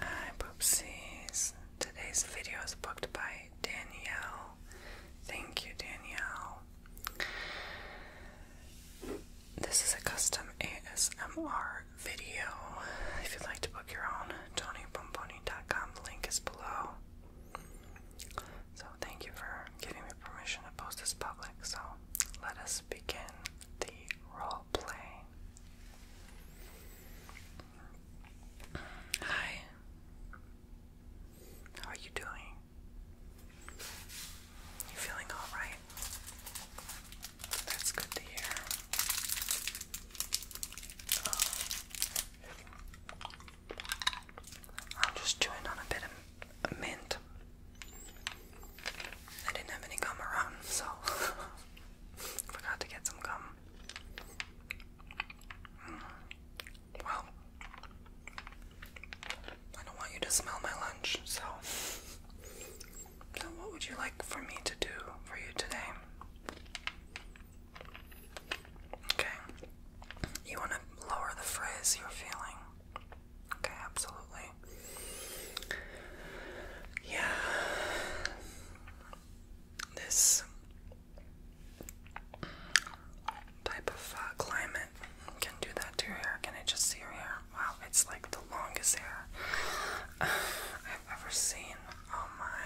Hi Boopsies. Today's video is booked by Danielle. Thank you, Danielle. This is a custom ASMR video. If you'd like to book your own, TonyPomponi.com. The link is below. So, thank you for giving me permission to post this public. So, let us begin the role play. Hi. How are you doing? You feeling all right? That's good to hear. Um, I'm just chewing on a bit of mint. I didn't have any gum around, so forgot to get some gum. Mm. Well, I don't want you to smell my lunch, So, what would you like for me to do for you today? Okay. You want to lower the phrase you're feeling. Okay, absolutely. Yeah. This type of uh, climate can do that to your hair. Can I just see your hair? Wow, it's like the longest hair I've ever seen. Oh my.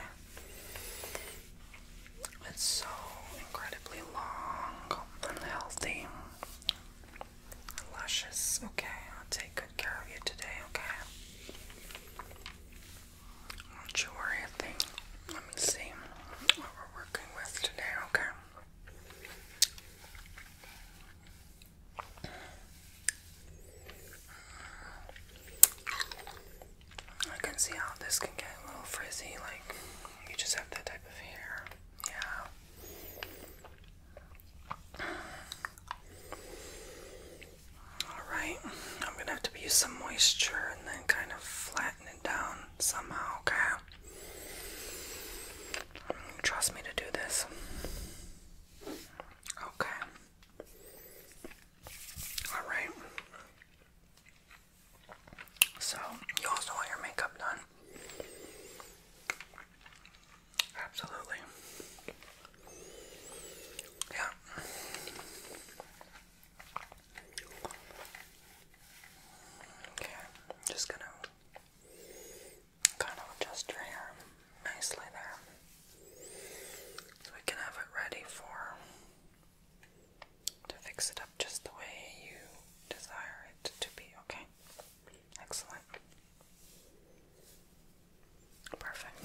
It's so incredibly long and healthy. Luscious. Okay, I'll take good care of you today, okay? Don't you worry a thing. Let me see what we're working with today, okay? I can see how this can get a little frizzy, like you just have that type of hair. Yeah. Alright, I'm gonna have to use some moisture and then kind of flatten it down somehow, okay? Trust me to do this. Okay. Alright. So, you also want your makeup done. Absolutely. Yeah. Okay, just gonna kind of adjust your hair nicely there. So we can have it ready for to fix it up just the way you desire it to be, okay? Excellent. Perfect.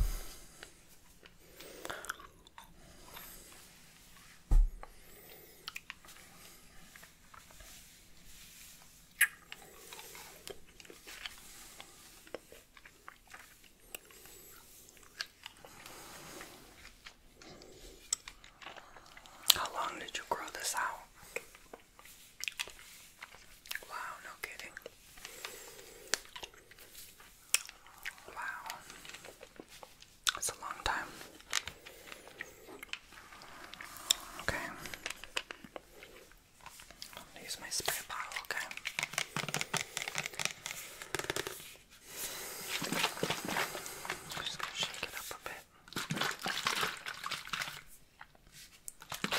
How long did you grow this out? Wow, no kidding. Wow. That's a long time. Okay. i use my spray bottle, okay? I'm just gonna shake it up a bit. And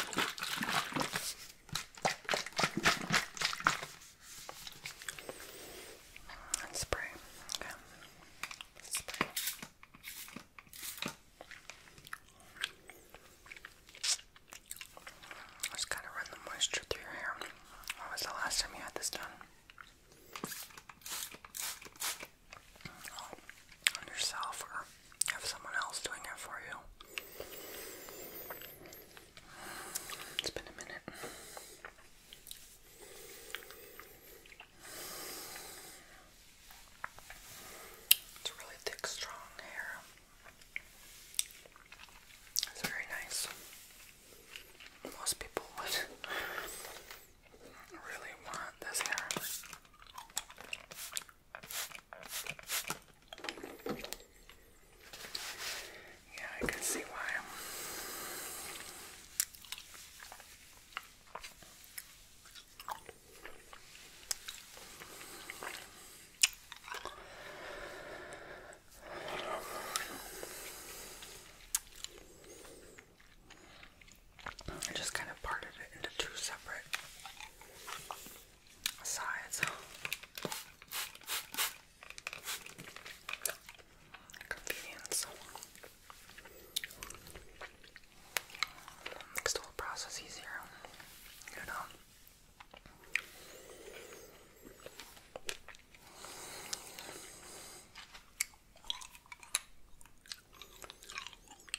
spray. Okay. Spray. Just gotta run the moisture through your hair. When was the last time you had this done? on yourself or have someone else doing it for you. It's been a minute. It's really thick, strong hair. It's very nice. Most people would really want this hair. Yeah, I can see why. I just kind of parted it into two separate sides. Convenience. Makes the whole process easier, you know.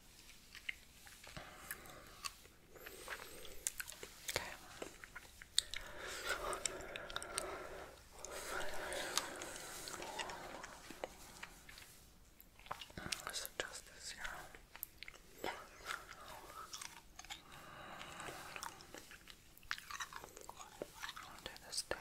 Okay. Let's adjust this here. i this down.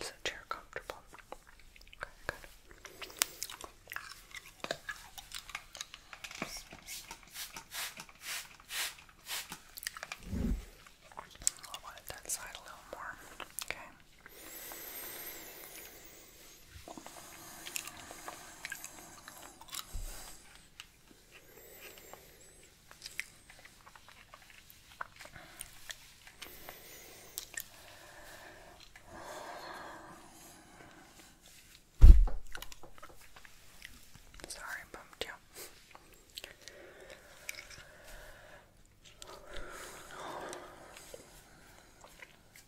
Is the chair comfortable? Okay, I'll that side a little more. Okay. Sorry, I bumped you.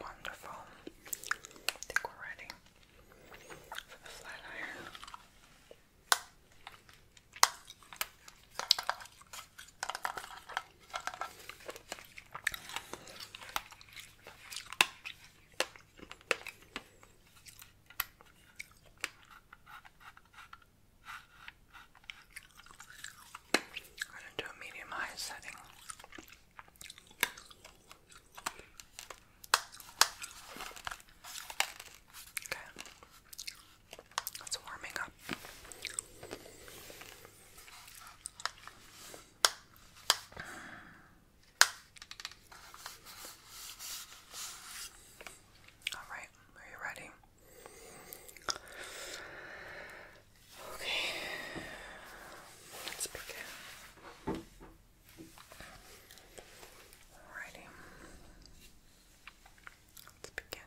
Wonderful. I think we're ready for the flat iron. I'm going to do a medium high setting. Okay. It's warming up. Alright, are you ready? Okay, let's begin. Alrighty, let's begin.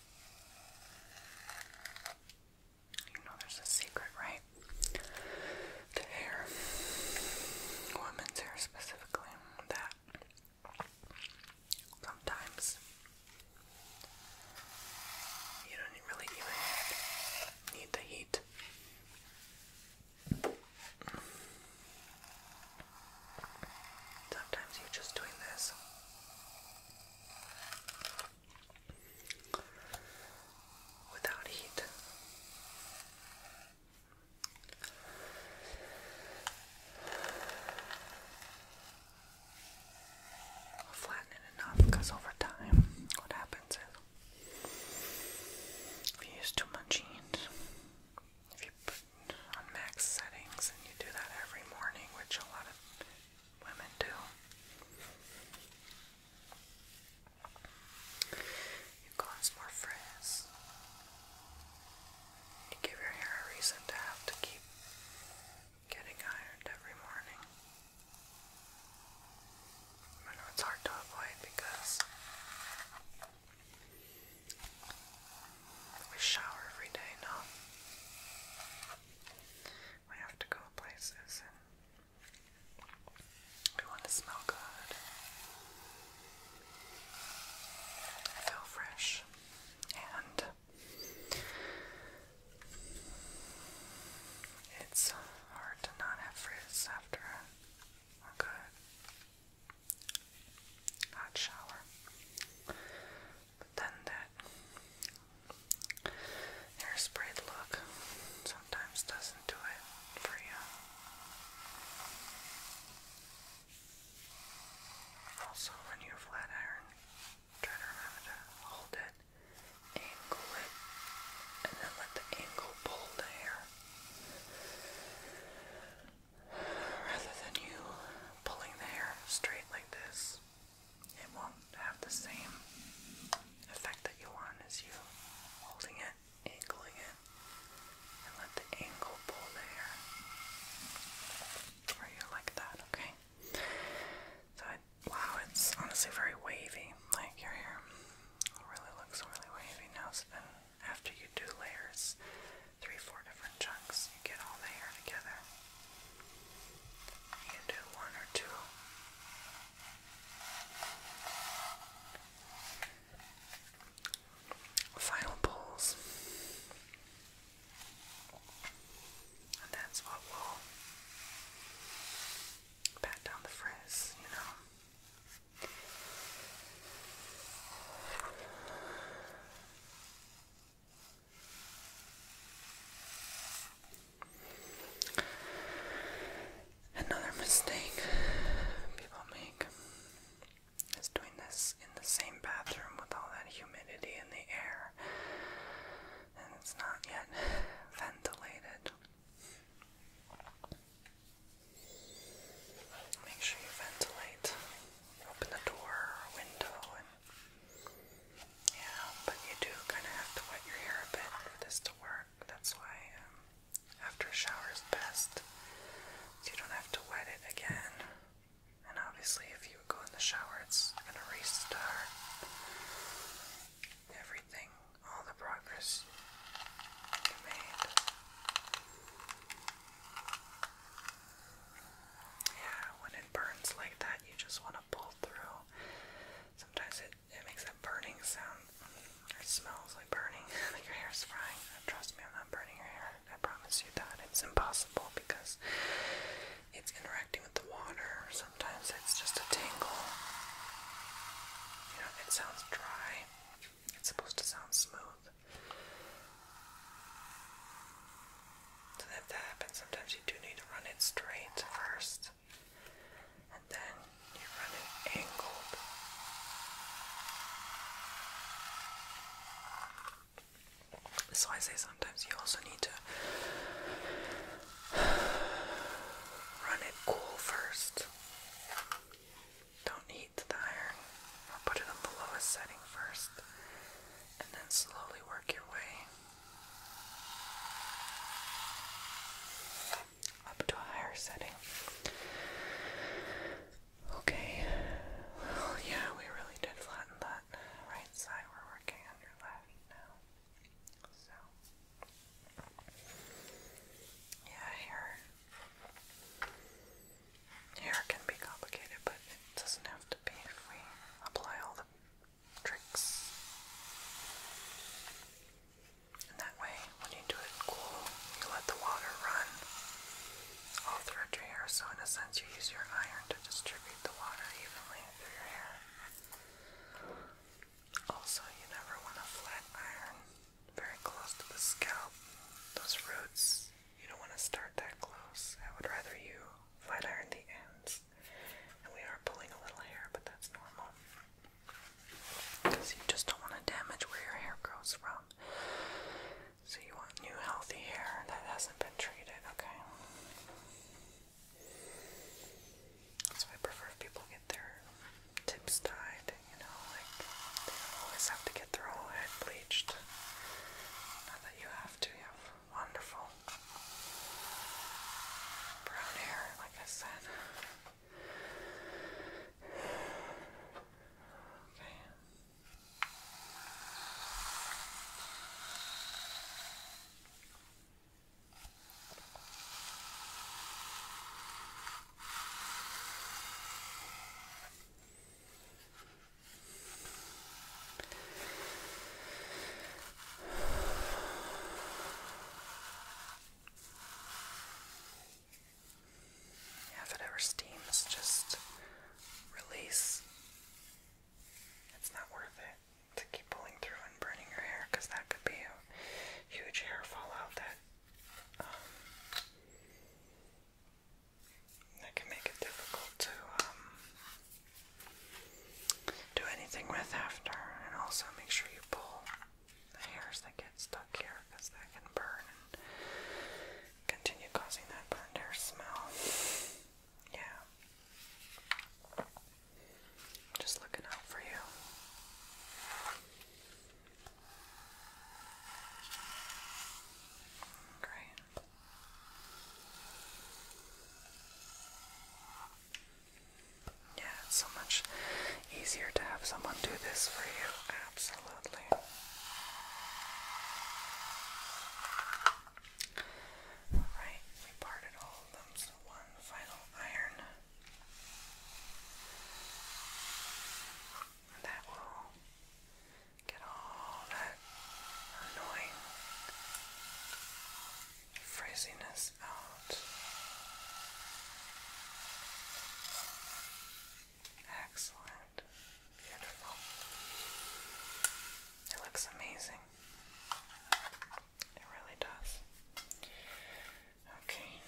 You know there's a secret, right? To hair. Women's hair specifically. That sometimes you don't really need the heat. Sometimes you're just doing this. Without heat. flatten it enough because over time, what happens is if you use too much heat, if you put on max settings and you do that every morning, which a lot of women do, you cause more frizz. You give your hair a reason to have to keep getting ironed every morning. I know it's hard to avoid because we shower every day, now. We have to go places and we want to smell good. feel fresh and it's hard to not have frizz after a good hot shower. But then that hairsprayed look sometimes doesn't do it for you. Also, when you flat iron, try to remember to hold it, angle it, and then let the angle pull the hair rather than you pulling the hair straight like this, it won't have the same effect that you want as you holding it, angling it, and let the angle pull the hair. Or you like that, okay? So, wow, it's honestly very wavy. Like your hair really looks really wavy now, and after you do layers, three, four different chunks. You get all the hair together. You can do one or two. Final pulls. And that's what will pat down the frizz, you know. Another mistake people make is doing this in the same bathroom with all that humidity in the air, and it's not yet ventilated. Make sure you ventilate open the door or window and yeah, but you do kind of have to wet your hair a bit for this to work. That's why um, after a shower is best. So you don't have to wet it again. And obviously, if you go in the shower, it's gonna restart everything, all the progress you made. Yeah, when it burns like that, you just want to pull through. Sometimes it, it makes that burning sound. It smells like burning, like your hair's frying. Trust me, I'm not burning your hair. I promise you that. It's impossible because it's interacting with the water. Sometimes it's just a tingle. You know, it sounds dry. It's supposed to sound smooth. So that that happens, sometimes you do need to run it straight first, and then you run it angled. So I say sometimes you also need to run it cool first. Don't heat the iron. I'll put it on the lowest setting first, and then slowly work your way up to a higher setting. Okay, yeah, we really did flatten that right side. We're working on your left now. So, yeah, here. Hair can be complicated, but it doesn't have to be if we apply all the tricks. And that way, when you do it cool, you let the water run all throughout your hair. So, in a sense, you use your iron to distribute the water evenly through your hair. Also, you never want to flat iron very close to the scalp. Those roots you don't want to start that close. I would rather you flat iron the ends. And we are pulling a little hair, but that's normal. Because you just don't want to damage where your hair grows from. So you want new healthy hair that hasn't been treated, okay? That's why I prefer people get their tips dyed, you know, like always have to get their whole head bleached. Not that you have to, you have wonderful brown hair, like I said. Okay. Yeah, if it ever steams, just release. It's not worth it to keep pulling through and burning your hair because that could be a huge hair fallout that um, that can make it difficult to um, do anything with after, and also make sure you pull the hairs that get stuck here because that can burn and continue causing that burned hair smell. Yeah. Just looking out for you. Great. Yeah, so much easier to have someone do this for you. Absolutely. Right, we parted all of them, so one final iron. That will Get all that annoying frizziness out. Excellent. Beautiful. It looks amazing. It really does. Okay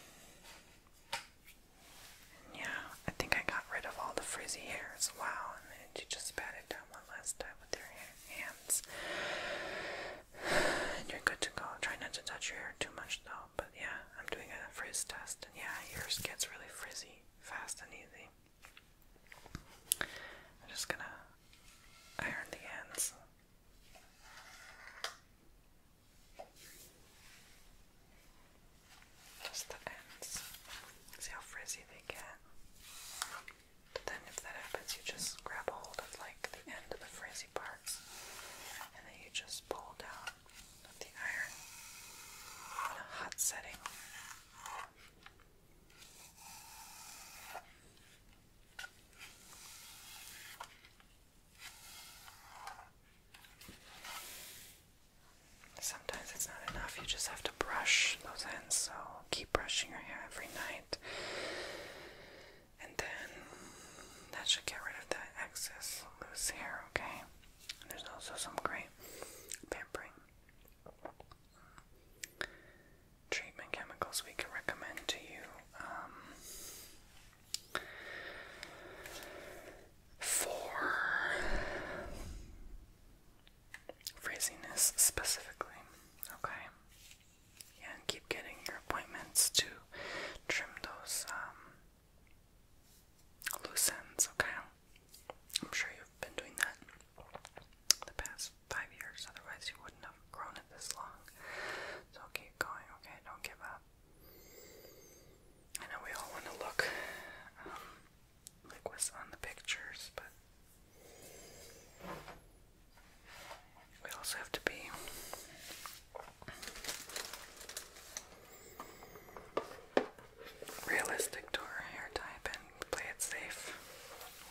yeah, I think I got rid of all the frizzy hair as well, and then you just pat it down one last time with your hands. And you're good to go. Try not to touch your hair too much though. But yeah, I'm doing a frizz test, and yeah, yours gets really frizzy fast and easy. I'm just gonna iron the ends just the ends. See how frizzy they get. But then if that happens, you just grab hold of like the end of the frizzy parts and then you just pull down with the iron in a hot setting. Sometimes it's not enough, you just have to brush those ends, so keep brushing your hair every night. And then that should get rid of that excess loose hair, okay? there's also some great pampering treatment chemicals we can recommend to you. Um, for phrasiness specifically. Okay. Yeah, keep getting your appointments to trim those um, loose ends. Okay. I'm sure you've been doing that the past five years. Otherwise, you wouldn't have grown it this long. So keep going. Okay. Don't give up. I know we all want to look um, like what's on the pictures, but we also have to be realistic to our hair type and play it safe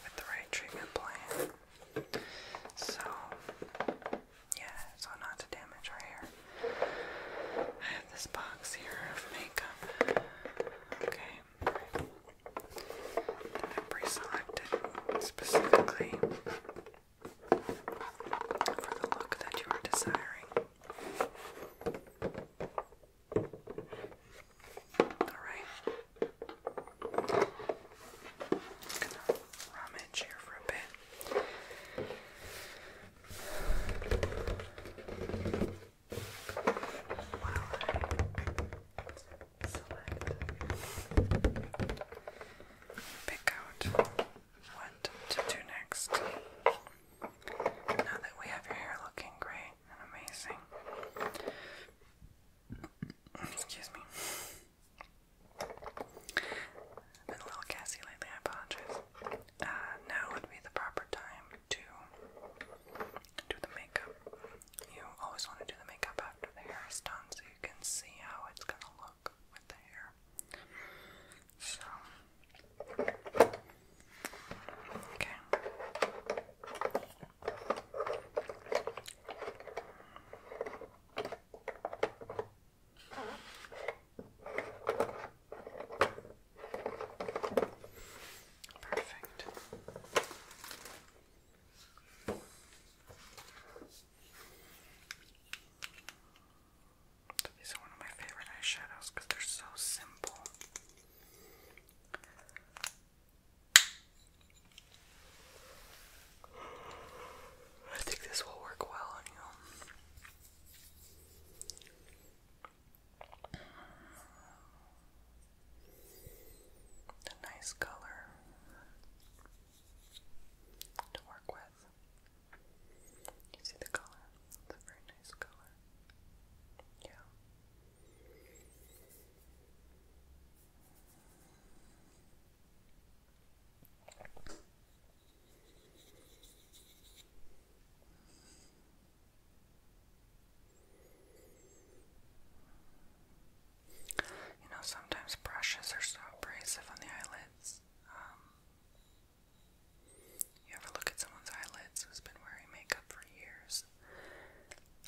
with the right treatment plan. So, yeah, so not to damage our hair. I have this box here of makeup. Okay. That I pre selected specifically for the look that you are desiring. Alright. gonna rummage here for a bit pick out what to do next. Now that we have your hair looking great and amazing, excuse me. been a little gassy lately, I apologize. Uh, now would be the proper time to do the makeup. You always want to do the makeup after the hair is done so you can see how it's going to look with the hair. So, Okay. Perfect. These one of my favorite eyeshadows because they're so simple. I think this will work well on you. A nice color to work with. You see the color? It's a very nice color. Yeah. You know, sometimes brushes are so abrasive on the eyelids. Um, you ever look at someone's eyelids who's been wearing makeup for years?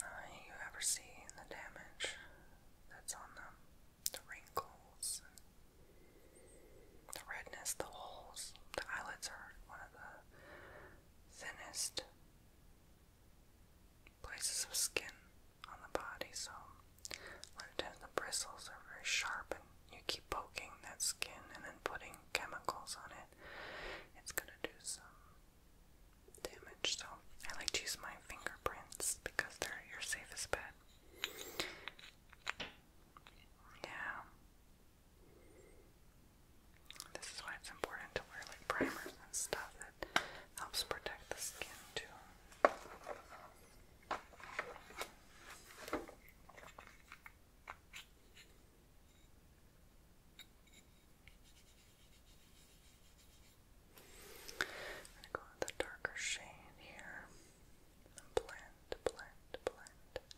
Uh, you ever see the damage that's on them? The wrinkles the redness, the holes, the eyelids are one of the thinnest places of skin on the body, so a lot of the bristles are very sharp and you keep poking that skin and then putting chemicals on it, it's gonna do some damage. So I like to use my fingerprints because they're your safest bet. Yeah. This is why it's important to wear like primers and stuff that helps protect the skin too. I'm gonna go with the darker shade here blend, blend, blend, blend,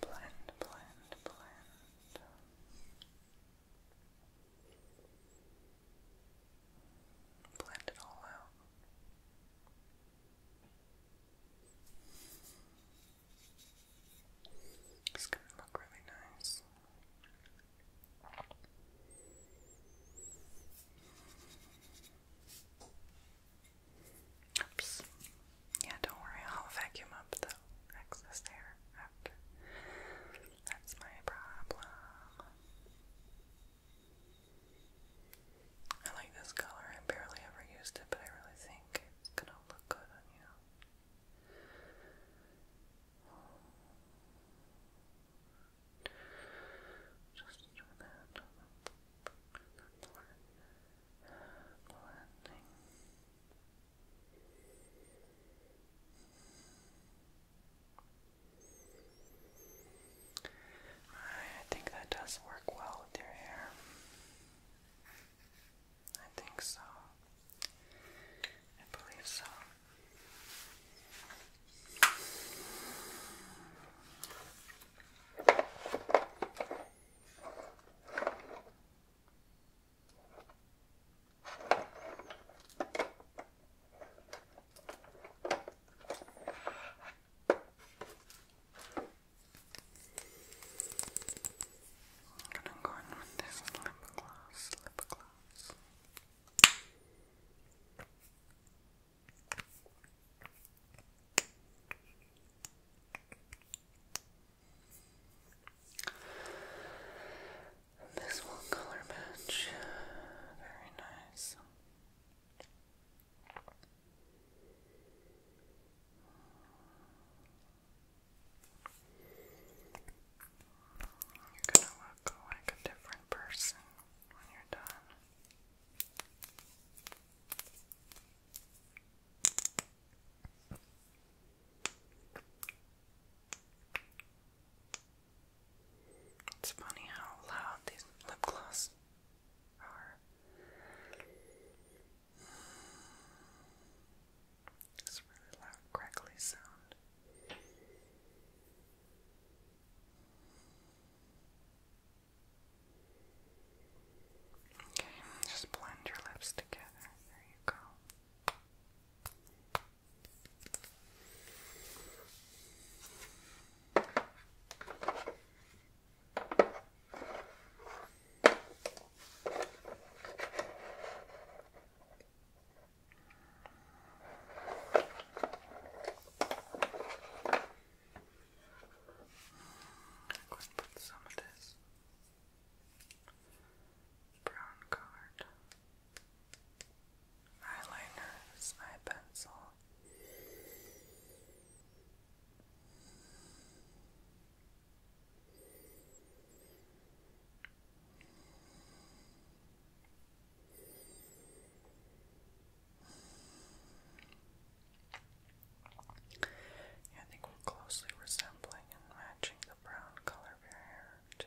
blend, blend. Blend it all out. It's gonna look really nice. Oops. Yeah, don't worry, I'll vacuum up the excess there That's my problem. I like this color. I barely ever used it, but I really think it's gonna look good on you. Just do that. Blending. I think that does work well with your hair. I think so. I believe so. I'm gonna go in with this lip gloss, lip gloss. This one color match, very nice. You're gonna look like a different person. It's funny how loud these lip gloss are. It's really loud, crackly sound. Okay, just blend your lips together. There you go. I'm put some of this brown colored eyeliner with pencil. I think we're closely resembling and matching the brown color of barrier, too.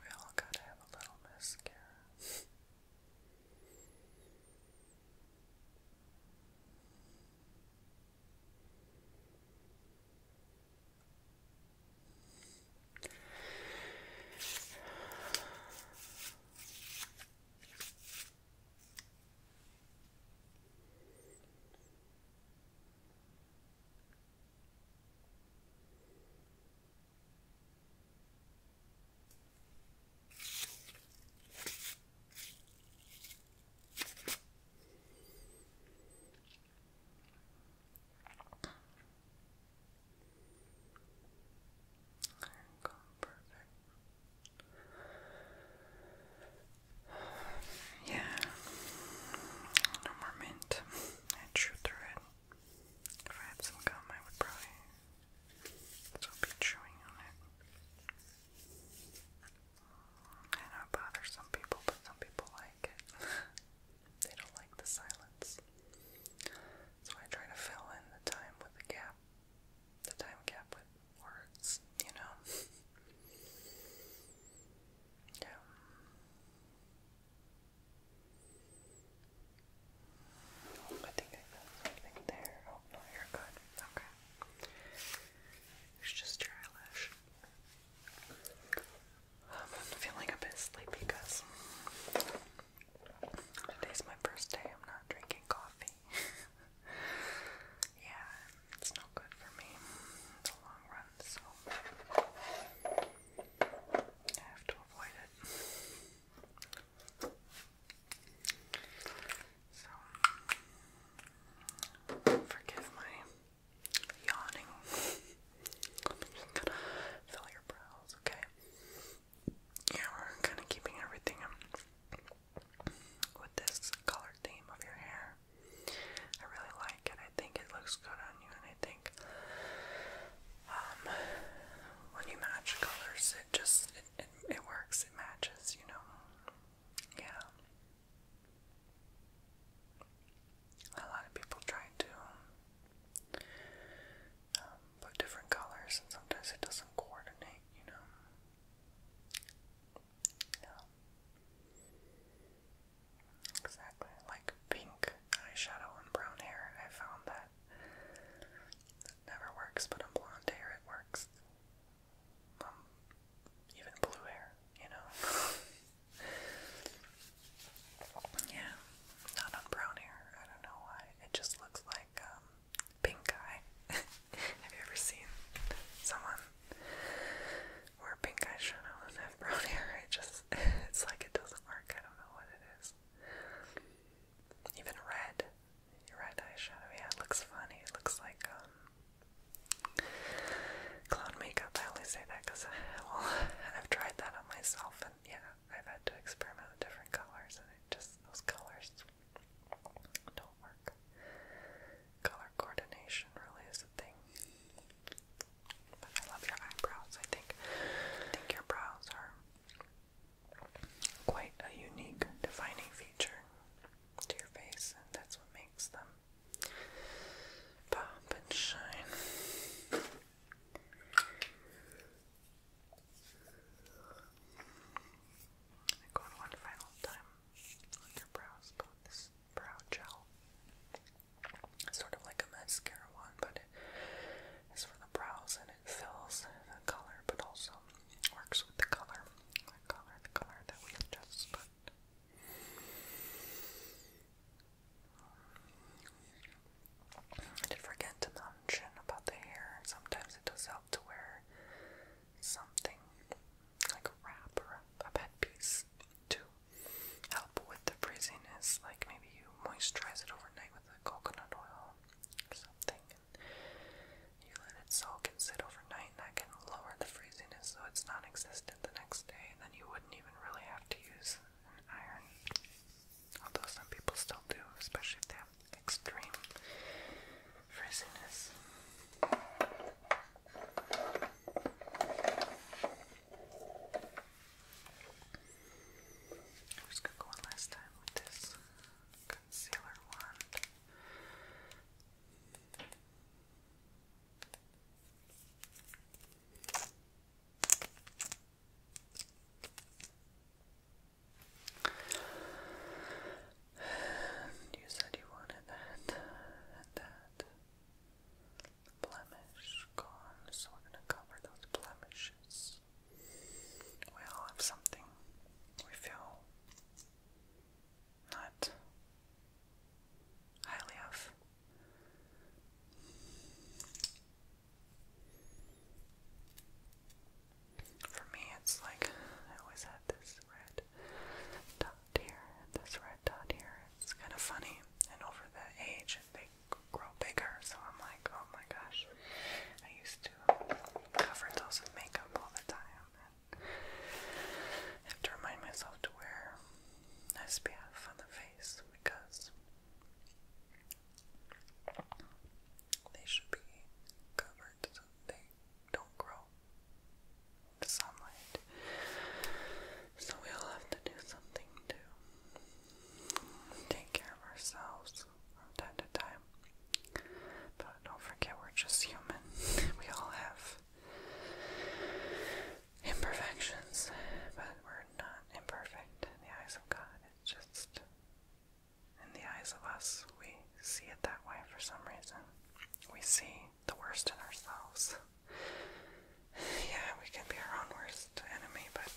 We all gotta have a little mascara. There you go, perfect. Yeah, no more mint. I chewed through it. If I had some gum, I would probably still be chewing on it. I know it bothers some people, but some people like it. they don't like the silence. So I try to fill in the time with the gap, the time gap with words, you know? yeah. I think I got something there. Oh, no, you're good. Okay. It's just your eyelash. Um, I'm feeling a bit sleepy because today's my first day. I'm not drinking coffee. yeah, it's not good for me in the long run, so. I have to avoid it. So, forgive my yawning. just gonna fill your brows, okay? Yeah, we're kind of keeping everything with this color theme of your hair. I really like it. I think it looks good on you, and I think um, when you match colors, it just it, works. It matches, you know. Yeah. A lot of people try to um, put different colors, and sometimes it doesn't coordinate, you know. Yeah. Exactly. Like pink eyeshadow and brown hair. I found that it never works, but on blonde hair it works. Um, even blue hair, you know? yeah, not on brown hair. I don't know why. It just looks like um, pink eye. Have you ever seen someone wear pink eyeshadow and brown hair. It just, it's like it doesn't work. I don't know what it is. Even red, red eyeshadow, yeah, it looks funny. It looks like, um, clown makeup. I only say that because, well, I've tried that on myself and yeah, I've had to experiment with different colors and it just, those colors don't work. Color coordination really is a thing. I love your eyebrows. I think think your brows are quite a unique defining feature to your face and that's what makes them pop and shine. I go one final time on your brows, but this brow gel. It's sort of like a mascara one, but it is for the brows and it fills the color, but also works with the color, the color, the color that we just put. Um, I did forget to mention about the hair. Sometimes it does help to wear something like a wrap or a headpiece to help with the frizziness. Like maybe you moisturize it overnight with a coconut oil or something, and you let it soak and sit overnight, and that can lower the frizziness so it's non-existent the next day. And then you wouldn't even really have to use an iron, although some people still do, especially if they have extreme frizziness. I'm just gonna go one last time with this concealer wand. And you said you wanted that and that blemish gone, so we're going to cover those blemishes. We all have something we feel not highly of. For me, it's like I always had this red dot here, this red red dot here. It's kind of funny. And over the age, they grow bigger. So I'm like, oh my gosh. I used to cover those with makeup all the time. And I have to remind myself to wear SPF on the face because they should be covered so they don't grow the sunlight. So we all have to do something to take care of ourselves from time to time. But don't forget, we're just human. We all have imperfections, but we're not imperfect in the eyes of God. It's just in the eyes of us, we see it that way for some reason. We see the worst in ourselves. Yeah, we can be our own worst enemy, but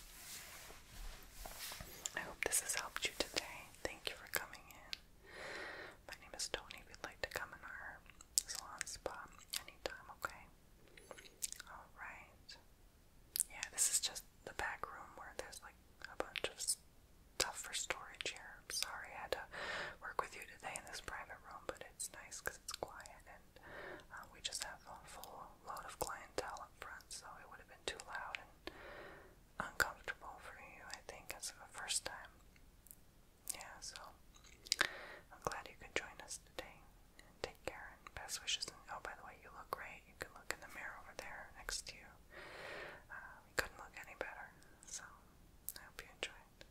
I hope this has helped you today. Thank you for coming in. My name is Tony. If you'd like to come in our salon spa anytime, okay? Alright. Yeah, this is just the back room where there's like a bunch of stuff for storage here. sorry I had to work with you today in this private room, but it's nice because it's quiet uh, we just have a full load of clientele up front, so it would have been too loud and uncomfortable for you, I think, as the first time. Yeah, so I'm glad you could join us today. And take care and best wishes. And oh, by the way, you look great. You can look in the mirror over there next to you. Uh, couldn't look any better. So I hope you enjoy it.